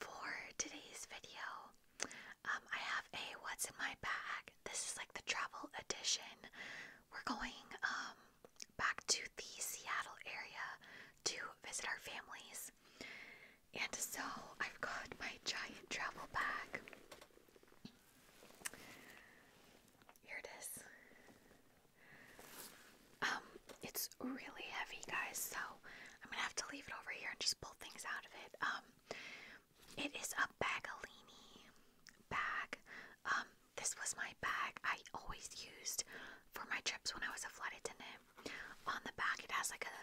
For today's video, um, I have a what's in my bag. This is like the travel edition. We're going um, back to the Seattle area to visit our families. And so I've got my giant travel bag. Here it is. Um, it's really heavy, guys, so I'm gonna have to leave it over here and just pull things out of it. Um, it is a Bagolini bag. Um, this was my bag I always used for my trips when I was a flight attendant. On the back, it has like a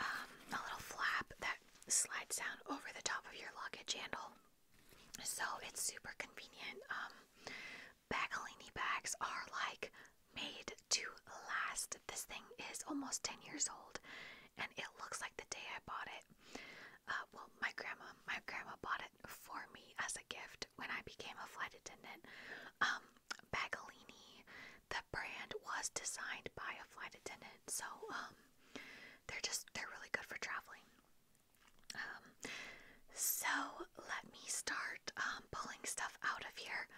um, a little flap that slides down over the top of your luggage handle, so it's super convenient. Um, Bagolini bags are like made to last. This thing is almost 10 years old and it looks like the day I bought it. Uh, well, my grandma, my grandma bought it for me as a gift when I became a flight attendant. Um, Bagolini, the brand was designed by a flight attendant, so um, they're just they're really good for traveling. Um, so let me start. Um, um, pulling stuff out of here,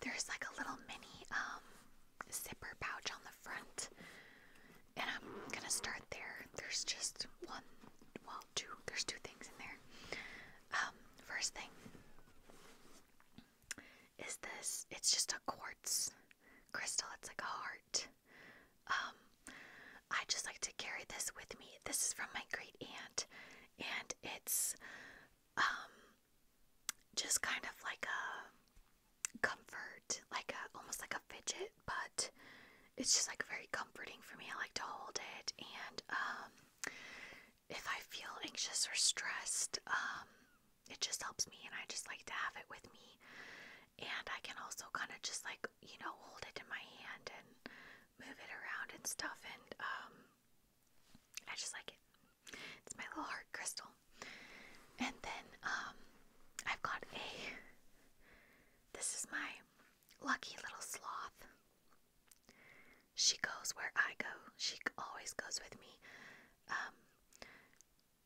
there's like a little mini um, zipper pouch on the front, and I'm gonna start there. There's just one, well, two. There's two things in there. Um, first thing is this. It's just a quartz crystal. It's like a heart. I just like to carry this with me. This is from my great aunt, and it's um just kind of like a comfort, like a almost like a fidget, but it's just like very comforting for me. I like to hold it and um if I feel anxious or stressed, um it just helps me and I just like to have it with me. And I can also kind of just like, you know, hold it in my hand and move it around and stuff and um I just like it. It's my little heart crystal. And then um I've got a this is my lucky little sloth. She goes where I go. She always goes with me. Um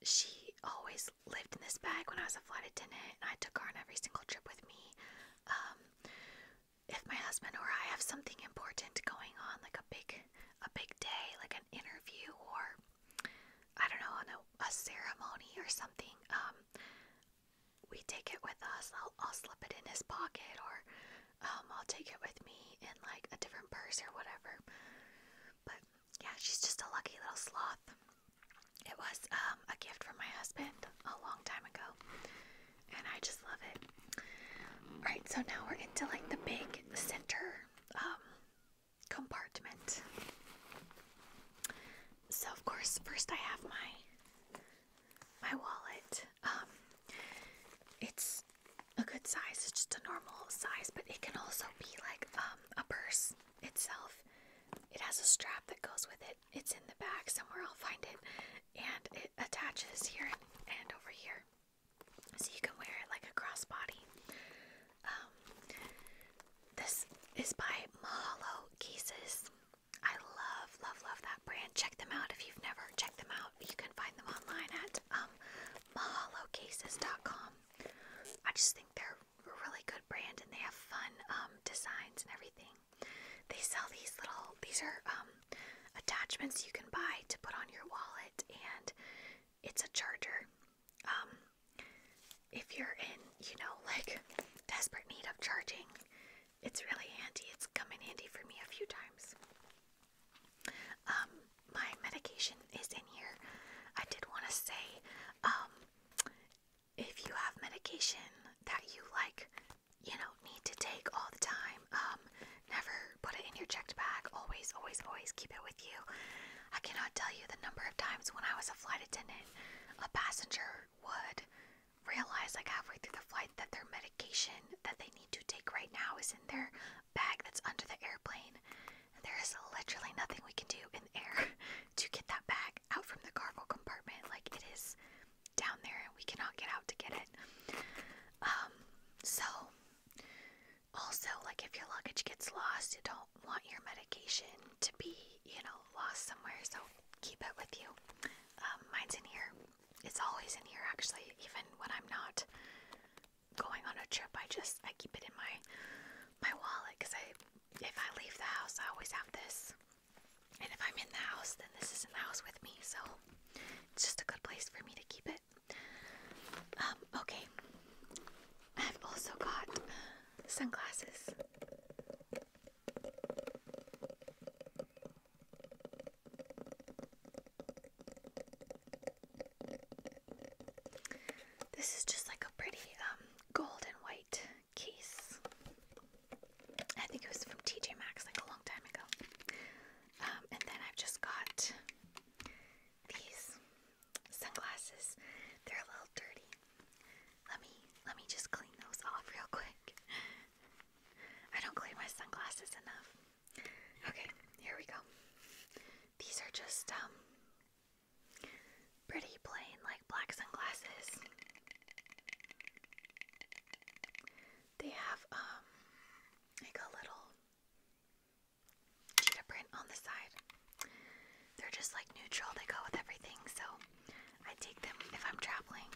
she always lived in this bag when I was a flight attendant and I took her on every single trip with me. Um, if my husband or I have something important going on, like a big a big day, like an interview or I don't know, a, a ceremony or something, um, we take it with us. I'll, I'll slip it in his pocket or um, I'll take it with me in like a different purse or whatever. But yeah, she's just a lucky little sloth. It was um, a gift from my husband a long time ago and I just love it. All right, so now we're into like the big center um, compartment. So of course, first I have my my wallet. Um, it's a good size. It's just a normal size, but it can also be like um, a purse itself. It has a strap that goes with it. It's in the back somewhere. I'll find it. And it attaches here and, and over here. So you can wear it like a crossbody. Um, this is by Mahalo Cases. I love, love, love that brand. Check them out if you've never checked them out. You can find them online at um, mahalocases.com. I just think they're a really good brand and they have fun um, designs and everything. They sell these little, these are um, attachments you can buy to put on your wallet, and it's a charger. Um, if you're in, you know, like desperate need of charging, it's really handy. It's come in handy for me a few times. Um, my medication is in here. I did want to say, if you have medication that you like, you know, need to take all the time. Um, never put it in your checked bag. Always, always, always keep it with you. I cannot tell you the number of times when I was a flight attendant, a passenger would realize like halfway through the flight that their medication that they need to take right now is in their bag that's under the airplane. And there is literally nothing we can do in the air to get that bag out from the cargo compartment. Like it is down there and we cannot get out to get it. Um, so also like if your luggage gets lost, you don't want your medication to be, you know, lost somewhere, so keep it with you. Um, mine's in here. It's always in here actually, even when I'm not going on a trip. I just I keep it in my my wallet because I if I leave the house, I always have this and if I'm in the house, then this is in the house with me, so it's just a good place for me to keep it. Um, okay. I've also got sunglasses. This is just like a pretty um, gold and white case. I think it was from TJ Maxx like a long time ago. Um, and then I've just got these sunglasses. They're a little dirty. Let me let me just clean those off real quick. I don't clean my sunglasses enough. Okay, here we go. These are just um, pretty plain like black sunglasses. They have um like a little cheetah print on the side. They're just like neutral. They go with everything. So I take them if I'm traveling.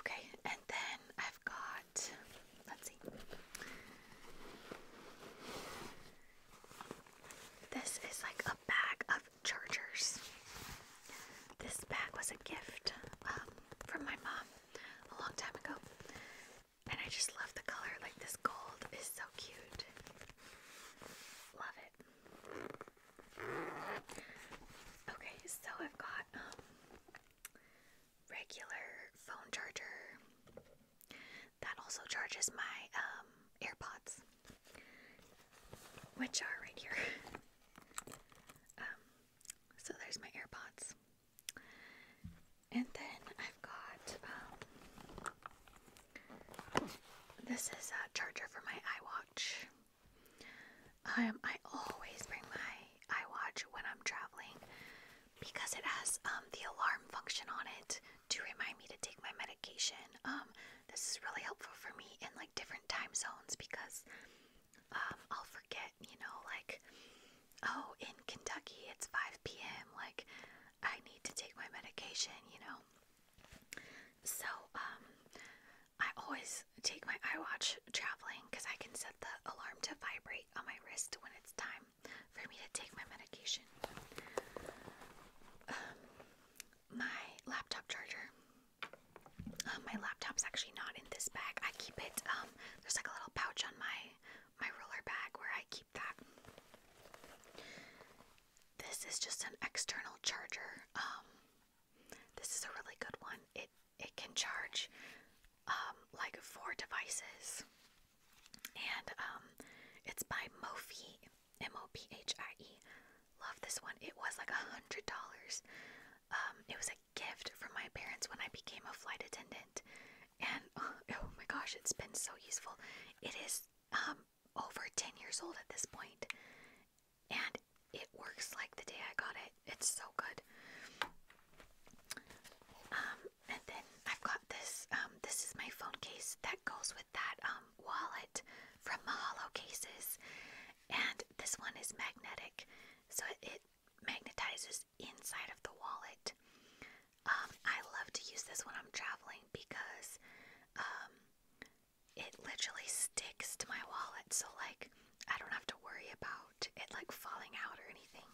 Okay, and then I've got let's see. This is like a bag of chargers. This bag was a gift um, from my mom a long time ago. And I just love the color. Like this gold is so cute. Love it. Okay, so I've got um, regular phone charger that also charges my um, AirPods, which are right here. Um, so there's my AirPods. And then I've got um, this is a charger for my iWatch. Um, I always bring my iWatch when I'm traveling because it has um, the alarm function on it to remind me to take my medication. Um, this is really helpful for me in different time zones because um, I'll forget, you know, like, oh, in Kentucky it's 5 p.m., like, I need to take my medication, you know. So, um, I always take my iWatch traveling because I can set the alarm to vibrate on my wrist when it's time for me to take my medication. Um, my laptop charger uh, my laptop's actually not in this bag. I keep it. Um, there's like a little pouch on my my roller bag where I keep that. This is just an external charger. Um, this is a really good one. It it can charge um, like four devices, and it's by Mophie. M O P H I E. Love this one. It was like a hundred dollars. Um, it was a gift from my parents when I became a flight attendant, and oh, my gosh, it's been so useful. It is um over ten years old at this point, and it works like the day I got it. It's so good. Um, and then I've got this. Um, this is my phone case that goes with that um wallet from Mahalo Cases, and this one is magnetic, so it, magnetizes inside of the wallet. Um, I love to use this when I'm traveling because um, it literally sticks to my wallet, so like I don't have to worry about it like falling out or anything.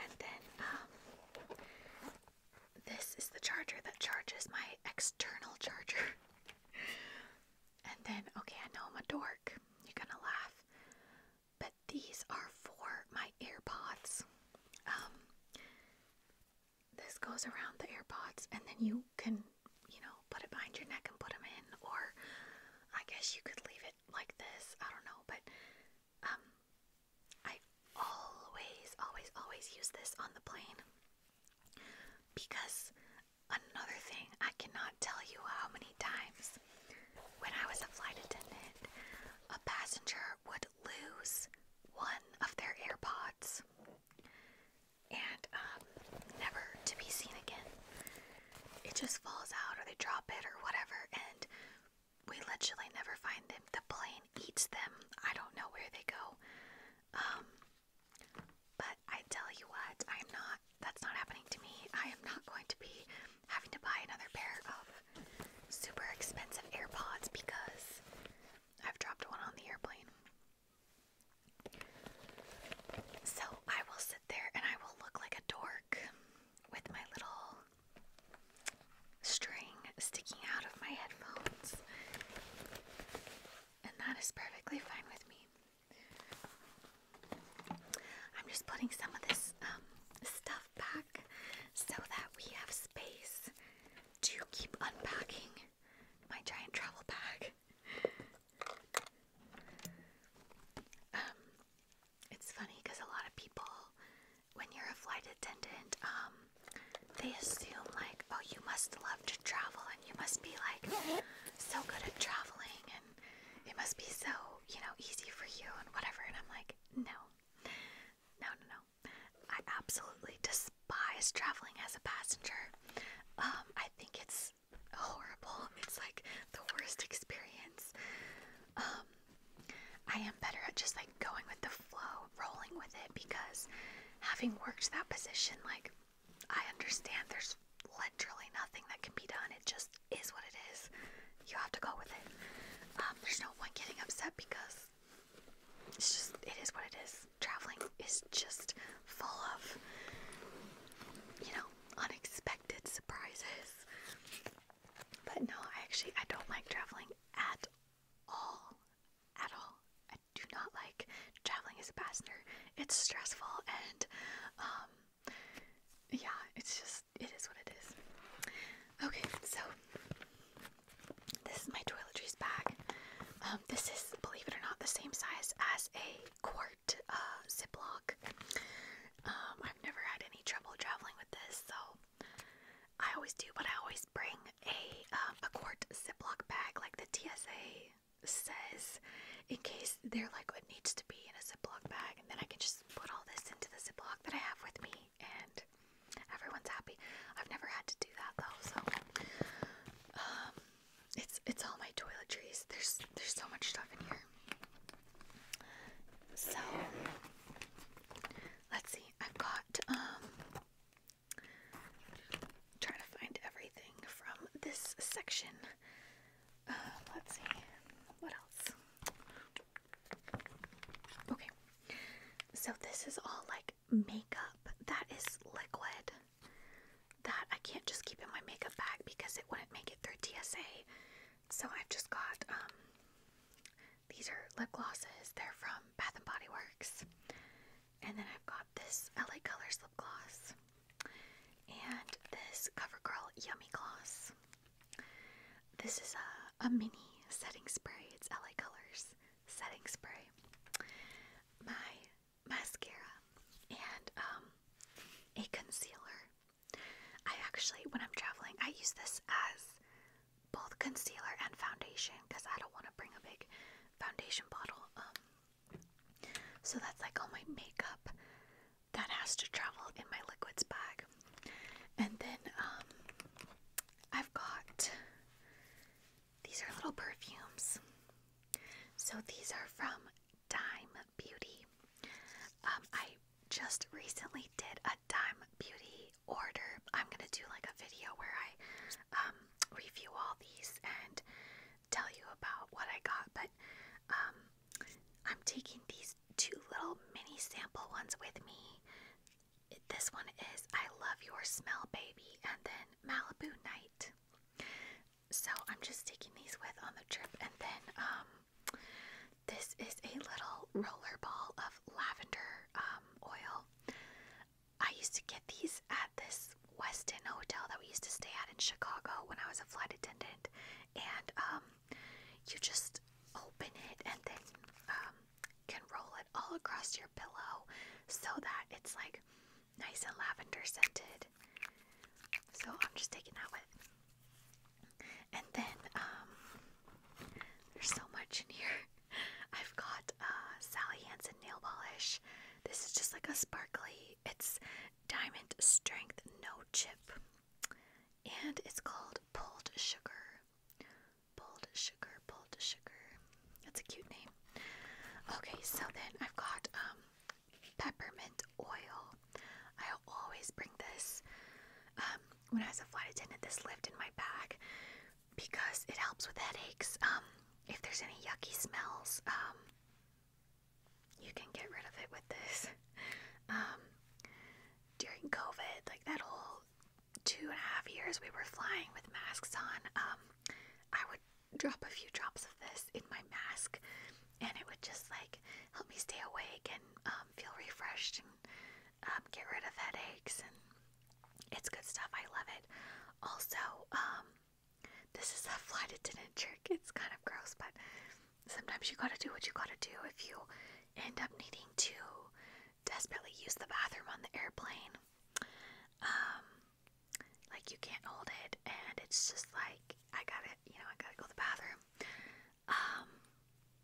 And then um, this is the charger that charges my external charger. and then, okay, I know I'm a dork. You're gonna laugh. But these are for my AirPods. Um, this goes around the AirPods, and then you can, you know, put it behind your neck and put them in, or I guess you could leave it like this. I don't know, but um, I always, always, always use this on the plane. Because another thing, I cannot tell you how many times when I was a flight attendant, a passenger would lose one of their AirPods and um, never to be seen again. It just falls out or they drop it or whatever, and we literally never find them. The plane eats them. I don't know where they go. Um, but I tell you what, I'm not, that's not happening to me. I am not going to be having to buy another pair of super expensive AirPods because I've dropped one on the airplane. So I will sit there and I will look like a dork with my little string sticking out of my headphones. And that is perfectly fine with me. I'm just putting some of this um, stuff back so that we have space to keep unpacking my giant travel bag. Um, it's funny because a lot of people, when you're a flight attendant, um, they assume like, oh, you must love to travel and you must be like so good at traveling and it must be so, you know, easy for you and whatever. And I'm like, no, no, no, no. I absolutely despise traveling as a passenger. Um, I think it's horrible. It's like the worst experience. Um, I am better at just like going with the flow, rolling with it because having worked that position, like I understand there's literally nothing that can be done. It just is what it is. You have to go with it. Um, there's no point getting upset because it's just, it is what it is. Traveling is just full of, you know, unexpected surprises. But no, I actually, I don't like traveling at all at all. I do not like traveling as a passenger. It's stressful and um yeah, it's just it is what it is. Okay, so this is my toiletries bag. Um, this is, believe it or not, the same size as a quart uh, Ziploc. Um, I've never had any trouble traveling with this, so I always do, What I always bring a um, a quart Ziploc bag, like the TSA says, in case they're like what needs to be in a ziplock bag, and then I can just put all this into the ziplock that I have with me, and everyone's happy. I've never had to do that though, so um, it's it's all my toiletries. There's there's so much stuff in here. So let's see. I've got um trying to find everything from this section. Uh, let's see, what else? Okay, so this is all like makeup that is liquid that I can't just keep in my makeup bag because it wouldn't make it through TSA. So I've just got um, these are lip glosses. They're from Bath and Body Works. And then I've got this LA Colors lip gloss and this CoverGirl Yummy Gloss. This is a, mini setting spray. It's LA Colors setting spray. My mascara and um, a concealer. I actually, when I'm traveling, I use this as both concealer and foundation because I don't want to bring a big foundation bottle. Um, so that's like all my makeup that has to travel in my liquids bag. And then um, I've got these are little perfumes. So these are from Dime Beauty. Um, I just recently did a Dime Beauty order, I'm gonna do like a video where I um, review all these and tell you about what I got. But um, I'm taking these two little mini sample ones with me. this one is I Love Your Smell Baby and then Malibu Night. So I'm just taking these with on the trip and then um, this is a little roller ball of lavender oil. I used to get these at this Westin hotel that we used to stay at in Chicago when I was a flight attendant, and um, you just open it and then um, can roll it all across your pillow so that it's like nice and lavender scented. So I'm just taking that with. And then um, there's so much in here. I've got uh, Sally Hansen nail polish. This is just like a sparkly. It's Diamond Strength No Chip. And it's called Pulled Sugar. Pulled Sugar, Pulled Sugar. That's a cute name. Okay, so then I've got um, peppermint oil. I always bring this. Um, when I was a flight attendant, this lived in my bag because it helps with headaches. Um, if there's any yucky smells, um, you can get rid of it with this. Um, during COVID, like that whole two and a half years we were flying with masks on, I would drop a few drops of this in my mask and it would just like help me stay awake and feel refreshed and um, get rid of headaches, and it's good stuff. I love it. Also, um, this is a flight attendant trick. It's kind of gross, but sometimes you gotta do what you gotta do if you end up needing to desperately use the bathroom on the airplane. Um, like you can't hold it, and it's just like I gotta, you know, I gotta go to the bathroom.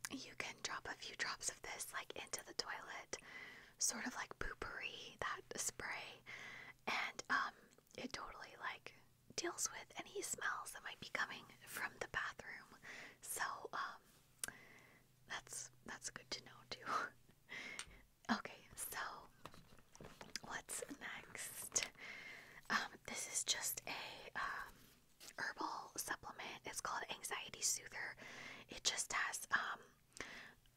you can drop a few drops of this like into the toilet sort of like poopery, that spray, and um, it totally like deals with any smells that might be coming from the bathroom. So um, that's that's good to know too. okay, so what's next? Um, this is just a um, herbal supplement. It's called Anxiety Soother. It just has um,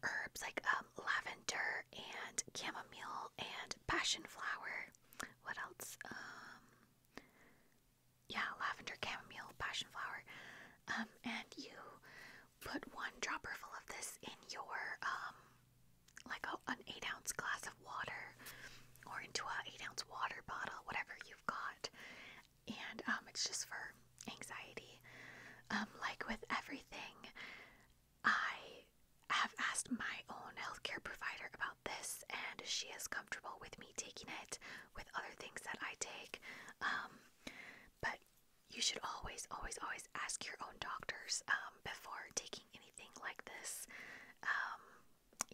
herbs like um, lavender and chamomile and passion flower. What else? Um, yeah, lavender, chamomile, passion flower. Um, and you put one dropper full of this in your like an eight ounce glass of water or into an eight ounce water bottle, whatever you've got, and um, it's just for anxiety. Um, like with everything, I have asked my own healthcare provider about this, and she is comfortable with me taking it with other things that I take. Um, but you should always, always, always ask your own doctors um, before taking anything like this. Um,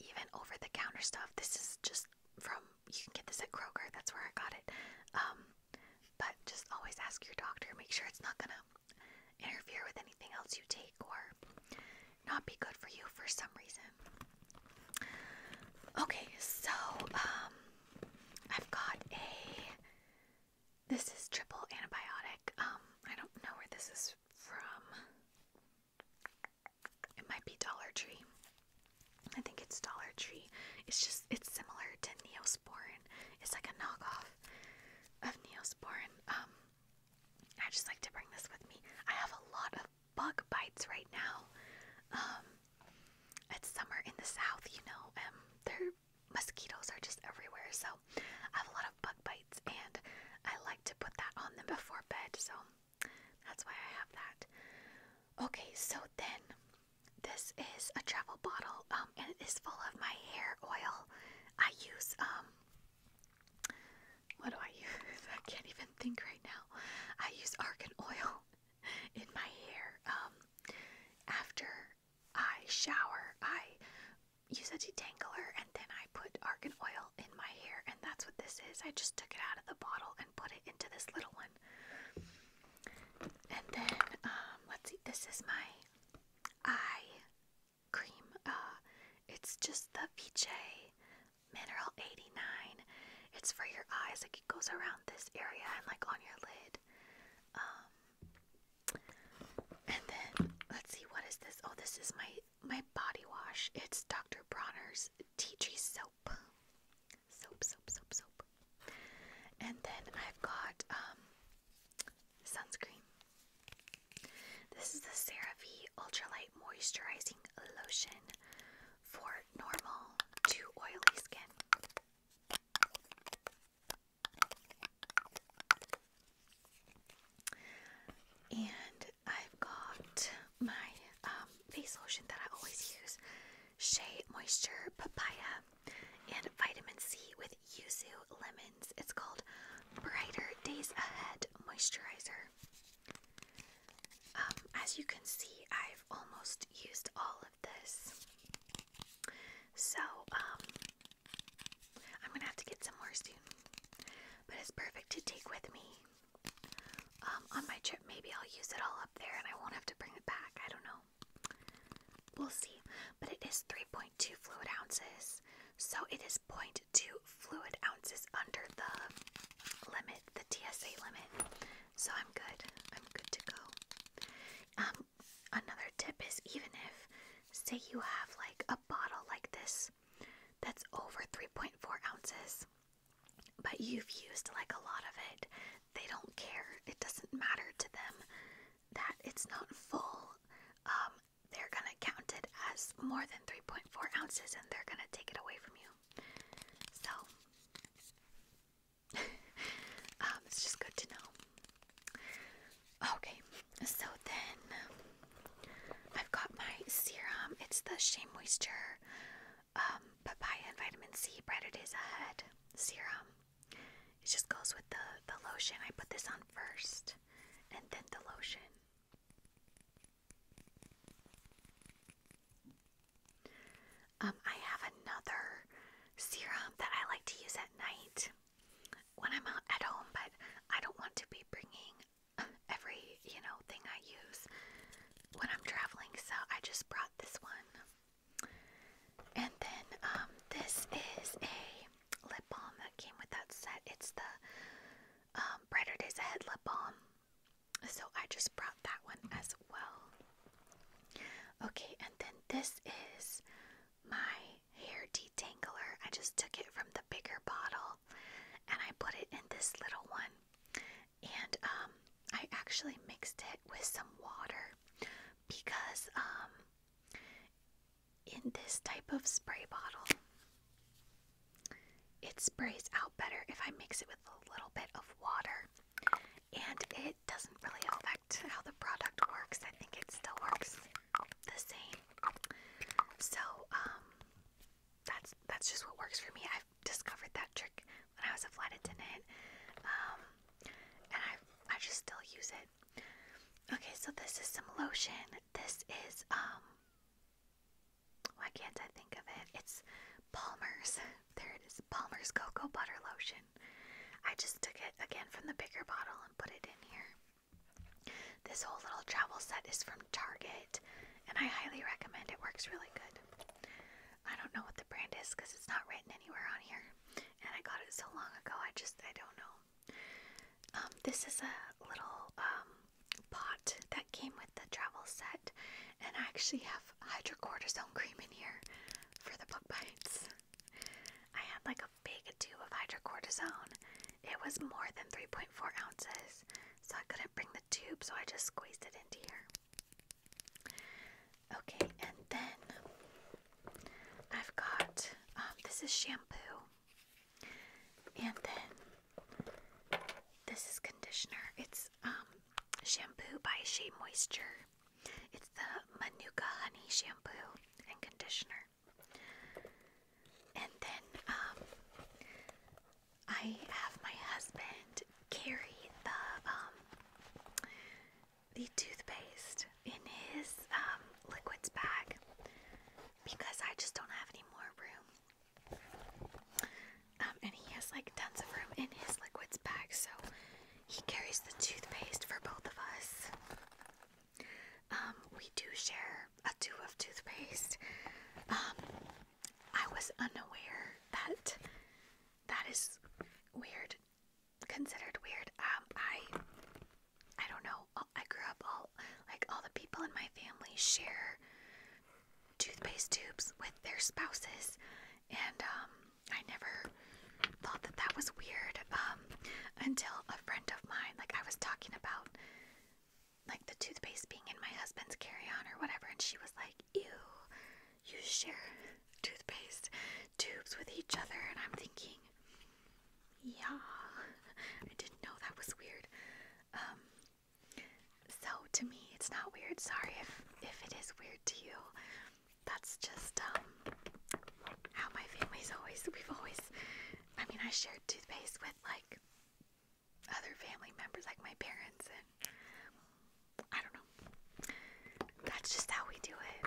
even over the counter stuff, this is just from you can get this at Kroger. That's where I got it. Um, but just always ask your doctor. Make sure it's not gonna interfere with anything else you take or not be good for you for some reason. Okay, so um, I've got a. This is triple antibiotic. Um, I don't know where this is from. It might be Dollar Tree. I think it's Dollar Tree. It's just it's similar to Neosporin. It's like a knockoff of Neosporin. Um, I just like to bring this with me. I have a lot of bug bites right now. Um, it's summer in the south, you know. Um, their mosquitoes are just everywhere, so I have a lot of bug bites, and I like to put that on them before bed. So that's why I have that. Okay, so then this is a travel bottle, um, and it is full of my hair oil. I use um what do I use? I can't even think right now. I use argan oil in my hair. Um after I shower, I use a detangler and then I put argan oil in my hair and that's what this is. I just took it out of the bottle and put it into this little one. And then, um, let's see, this is my eye cream. Uh, it's just the Viche Mineral 89. It's for your eyes, it goes around this area and like on your lid. Um, and then, let's see, what is this? Oh, this is my, my body wash. It's Dr. Bronner's Tea Tree Soap soap. Soap, soap, soap, And then I've got um, sunscreen. This is the CeraVe Ultralight Moisturizing Lotion for normal to oily skin. And I've got my um, face lotion that I always use. Shea Moisture Papaya, and Vitamin C with Yuzu Lemons. It's called Brighter Days Ahead Moisturizer. Um, as you can see, I've almost used all of this. So, um, I'm gonna have to get some more soon. But it's perfect to take with me um, on my trip, maybe I'll use it all up there and I won't have to bring it back. I don't know. We'll see. But it is 3.2 fluid ounces. So it is 0.2 fluid ounces under the limit, the TSA limit. So I'm good. I'm good to go. Um, another tip is even if, say, you have like a bottle like this that's over 3.4 ounces, but you've used like a lot of it. They don't care. It doesn't matter to them that it's not full. Um, they're gonna count it as more than 3.4 ounces and they're gonna take it away from you. So, um, it's just good to know. Okay, so then I've got my serum. It's the Shea Moisture papaya um, and vitamin C bread it is ahead serum. It just goes with the the lotion. I put this on first, and then the lotion. Um, I have another serum that I like to use at night when I'm out at home, but I don't want to be bringing every you know, thing I use when I'm traveling. So I just brought this one. And then um, this is a lip balm that came with that set. It's the um, Brighter Days Head lip balm. So I just brought that one as well. Okay, and then this is my hair detangler. I just took it from the bigger bottle and I put it in this little one and um, I actually mixed it with some water because um, in this type of spray bottle, it sprays out better if I mix it with a little bit of water. And it doesn't really affect how the product works. I think it still works the same. So, um, that's that's just what works for me. I've discovered that trick when I was a flight attendant, um, and I I just still use it. Okay, so this is some lotion. This is um, why can't I think of it? It's Palmer's. There it is, Palmer's cocoa butter lotion. I just took it again from the bigger bottle and put it in here. This whole little travel set is from Target and I highly recommend it. Works really good. I don't know what the brand is because it's not written anywhere on here, and I got it so long ago. I just I don't know. Um, this is a little um, pot that came with the travel set, and I actually have hydrocortisone cream in here for the bug bites. I had like a big tube of hydrocortisone. It was more than 3.4 ounces, so I couldn't bring the tube, so I just squeezed it into here. Okay, and then I've got um, this is shampoo, and then this is conditioner. It's um, shampoo by Shea Moisture. It's the Manuka Honey Shampoo and Conditioner. And then um, I have my husband carry the um, the toothpaste in his um, liquids bag because I just don't have any more room. Um, and he has like tons of room in his liquids bag, so he carries the toothpaste for both of us. we do share a tube of toothpaste. I was unaware that that is weird, considered weird. Um, I, I don't know. I grew up all like all the people in my family share toothpaste tubes with their spouses, and um, I never thought that that was weird um, until a friend of mine. Like I was talking about like the toothpaste being in my husband's carry on or whatever, and she was like, Ew, you share toothpaste tubes with each other. And I'm thinking, Yeah, I didn't know that was weird. Um, so to me, it's not weird. Sorry if, if it is weird to you. That's just um, how my family's always, we've always, I mean, I shared toothpaste with like other family members like my parents and I don't know. That's just how we do it.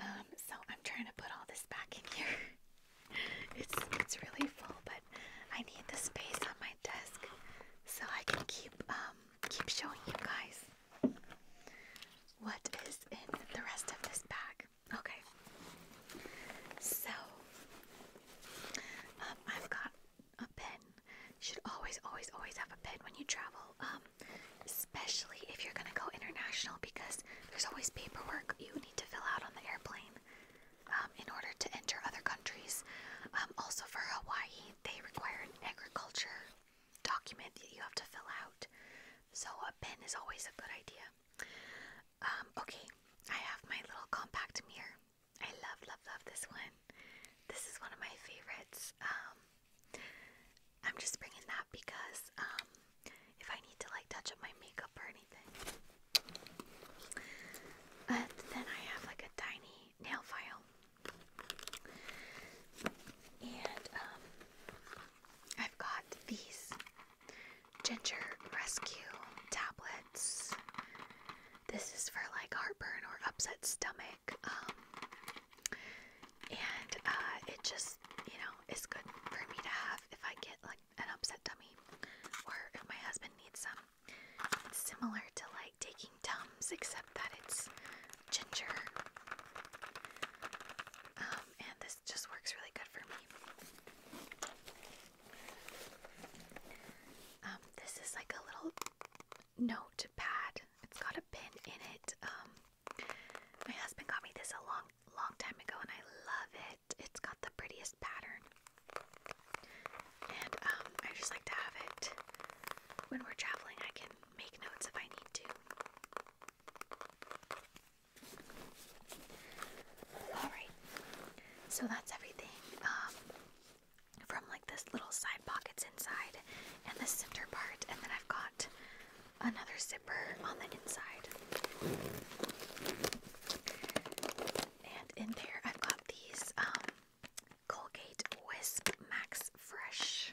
Um, so I'm trying to put all this back in here. It's it's really full, but I need the space on my desk so I can keep um keep showing you guys what is in the rest of this bag. Okay. So, um, I've got a pen. You should always, always, always have a pen when you travel, um, especially if you're gonna go international because there's always paperwork you need to fill out on the airplane um, in order to enter other countries. Um, also, for Hawaii, they require an agriculture document that you have to fill out. So, a pen is always a good idea. Um, okay, I have my little compact mirror. I love, love, love this one. This is one of my favorites. Um, I'm just bringing that because um, if I need to like touch up my makeup or anything. And then I have like a tiny nail file. And I've got these ginger rescue tablets. This is for like heartburn or upset stomach. Um, and uh, it just, you know, is good for me to have if I get like an upset tummy or if my husband needs some. It's similar to like taking Tums, except that it's ginger. Um, and this just works really good for me. Um, this is like a little notepad. It's got a pin in it. Um, my husband got me this a long, long time ago, and I love it. It's got the prettiest pattern, and um, I just like to have it when we're traveling. I can make notes if I need to. Alright, so that's everything um, from like this little side pockets inside and the center part, and then I've got another zipper on the inside. And in there, I've got these um, Colgate Wisp Max Fresh.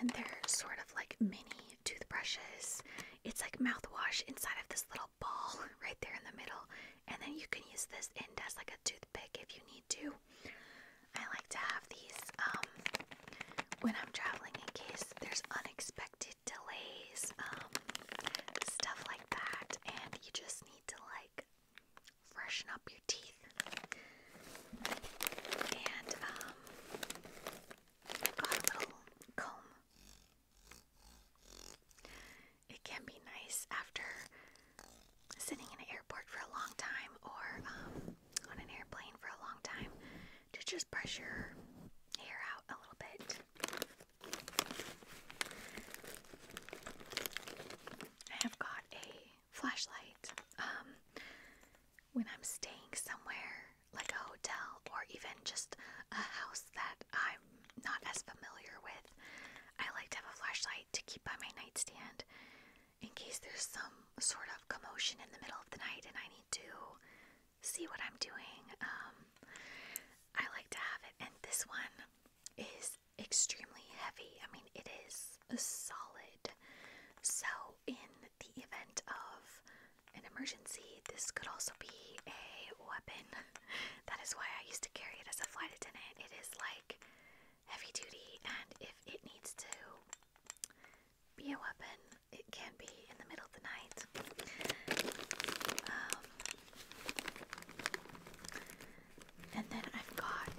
And they're sort of like mini toothbrushes. It's like mouthwash inside of this little ball right there in the middle. And then you can use this end as like a toothpick if you need to. I like to have these um, when I'm traveling in case there's unexpected delays, um, stuff like that. And you just need to like freshen up your teeth. And um got a little comb. It can be nice after sitting in an airport for a long time or um, on an airplane for a long time to just brush your hair out a little bit. I have got a flashlight. Um, when I'm staying somewhere like a hotel or even just a house that I'm not as familiar with, I like to have a flashlight to keep by my nightstand in case there's some sort of commotion in the middle of the night and I need to see what I'm doing. Um, I like to have it, and this one is extremely heavy. I mean, it is solid. So in the event of an emergency, this could also be a weapon. that is why I used to carry it as a flight attendant. It is like heavy duty, and if it needs to be a weapon, it can be in the middle of the night. Um, and then I've got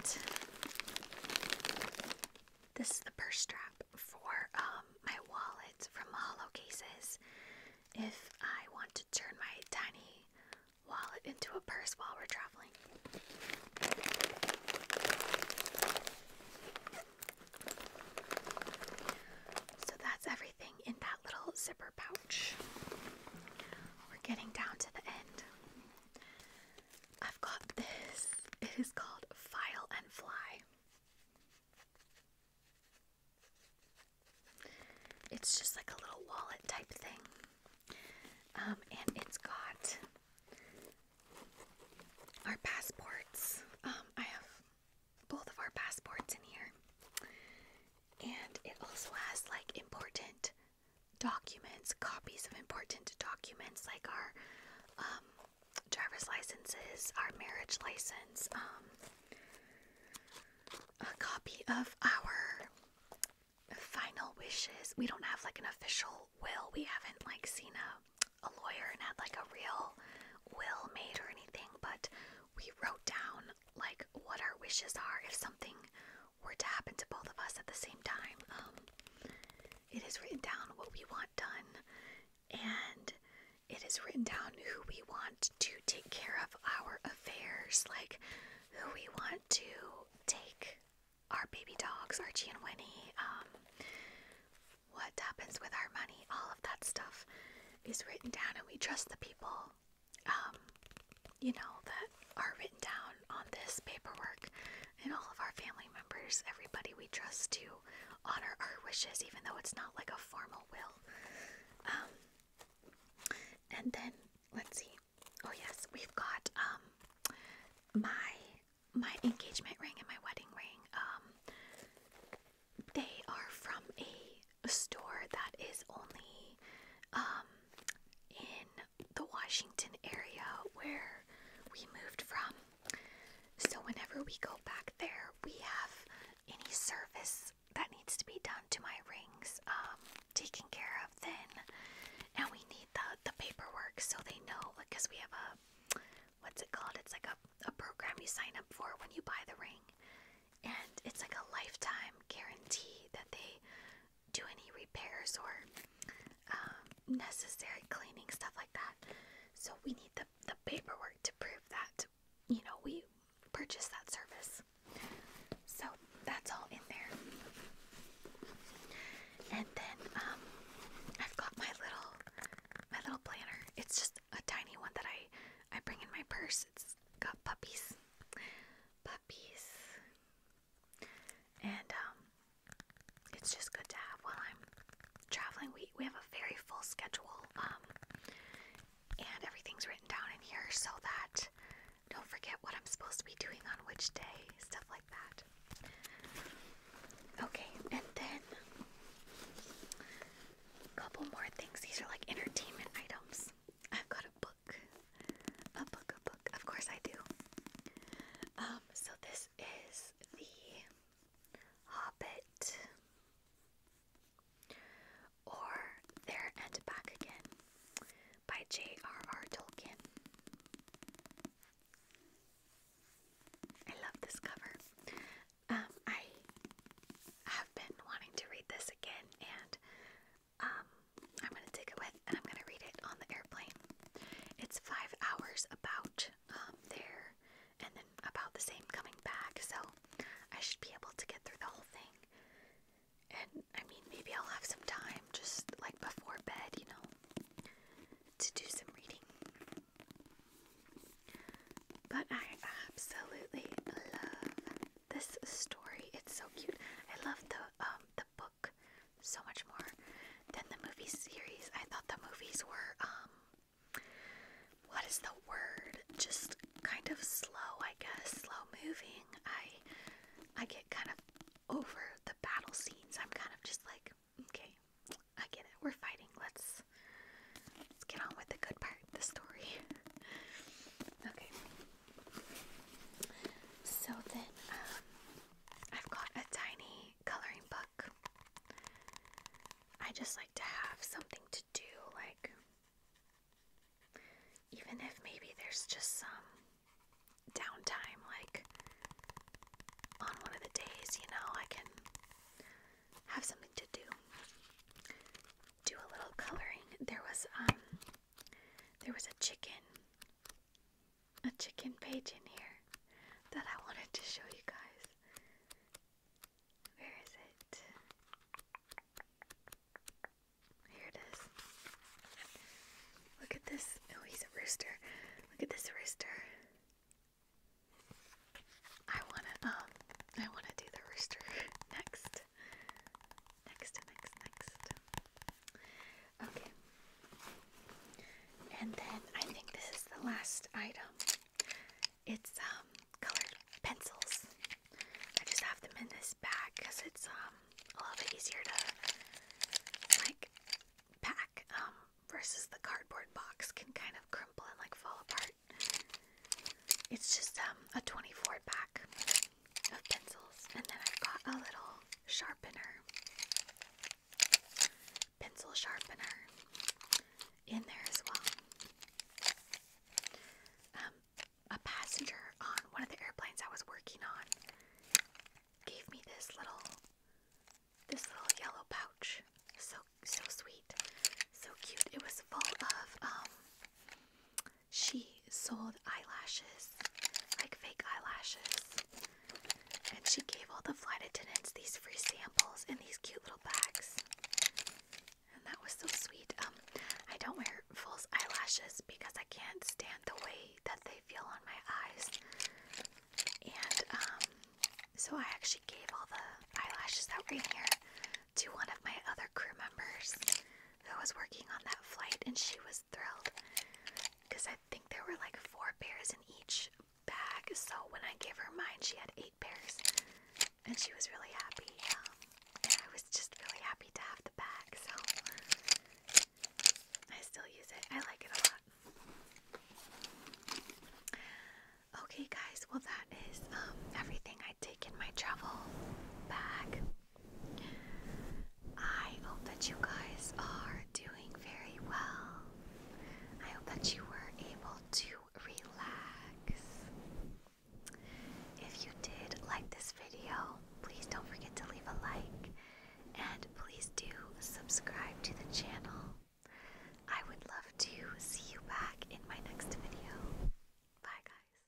this is the purse strap for um, my wallet from hollow cases. If I want to turn my tiny wallet into a purse while we're traveling. So that's everything in that little zipper pouch. We're getting down to the end. I've got this. It is called File and Fly. It's just like a little wallet type thing. Um, and it's got our passports. Um, I have both of our passports in here. And it also has like important documents, copies of important documents, like our um, driver's licenses, our marriage license, um, a copy of our final wishes. We don't have like an official will. We haven't like seen a, a lawyer and had like a real will made or anything, but we wrote down like what our wishes are if something were to happen to both of us at the same time. Um, it is written down what we want done, and it is written down who we want to take care of our affairs, like who we want to take our baby dogs, Archie and Winnie, um, what happens with our money, all of that stuff is written down, and we trust the people, um, you know, that are written down on this paperwork and all of our family members, everybody we trust to honor our wishes, even though it's not like a formal will. Um, and then let's see. Oh yes, we've got um, my my engagement ring and my wedding ring. Um, they are from a store that is only in the Washington area where where we moved from. So, whenever we go back there, we have any service that needs to be done to my rings um, taken care of then. And we need the, the paperwork so they know, because we have a, what's it called? It's like a, a program you sign up for when you buy the ring. And it's like a lifetime guarantee that they do any repairs or um, necessary cleaning stuff like that. So we need the the paperwork to prove that you know we purchased that service. So that's all in there. And then um, I've got my little my little planner. It's just a tiny one that I I bring in my purse. It's got puppies, puppies, and um, it's just good to have while I'm traveling. We we have a very full schedule, um, and everything's written down in here so that don't forget what I'm supposed to be doing on which day, stuff like that. Okay, and then a couple more things. These are like entertainment items. I've got a book, a book, a book. Of course I do. Um, um, so this is the Hobbit or There and Back Again by J.R.R. Tolkien. I love this cover. Um, I have been wanting to read this again, and um, I'm going to take away and I'm gonna read it on the airplane. It's five hours about um, there, and then about the same coming back. So I should be able to get through the whole thing. And I mean, maybe I'll have some time, just like before bed, you know, to do some reading. But I absolutely love this story. It's so cute. I love the um the so much more than the movie series. I thought the movies were, um, what is the word? Just kind of slow, I guess, slow moving. I, I get kind of over the battle scenes. I'm kind of just like, okay, I get it. We're fighting. Let's, let's get on with the good part, the story. okay. So then, um, I've got a tiny coloring book. I just like to have something to do, like, even if maybe there's just some downtime, like on one of the days, you know, I can have something to do. Do a little coloring. There was, um, there was a chicken a chicken page in here that I wanted to show you guys. Where is it? Here it is. Look at this. Oh, he's a rooster. Look at this rooster. I wanna um I wanna do the rooster next. Next, next, next. Okay. And then I think this is the last item. It's um, colored pencils. I just have them in this bag because it's um a little bit easier to like pack um versus the cardboard box can kind of crumple and like fall apart. It's just um a 24 pack of pencils and then I've got a little sharpener pencil sharpener in there as well. Um, a passenger on one of the airplanes I was working on gave me this little this little yellow pouch. So so sweet. So cute. It was full of um, she sold eyelashes, like fake eyelashes. And she gave all the flight attendants these free samples in these cute little bags. And that was so sweet. Um, I don't wear false eyelashes because I can't stand the way that they feel on my eyes. And um, so I actually gave all the eyelashes that were in here to one of my other crew members who was working on that flight, and she was thrilled because I. I think there were like four pairs in each bag. So when I gave her mine, she had eight pairs, and she was really happy. Um, and I was just really happy to have the bag, so I still use it. I like it a lot. Okay, guys. Well, that is um, everything I take in my travel bag. I hope that you guys are doing very well. I hope that you were able to relax. If you did like this video, please don't forget to leave a like and please do subscribe to the channel. I would love to see you back in my next video. Bye, guys.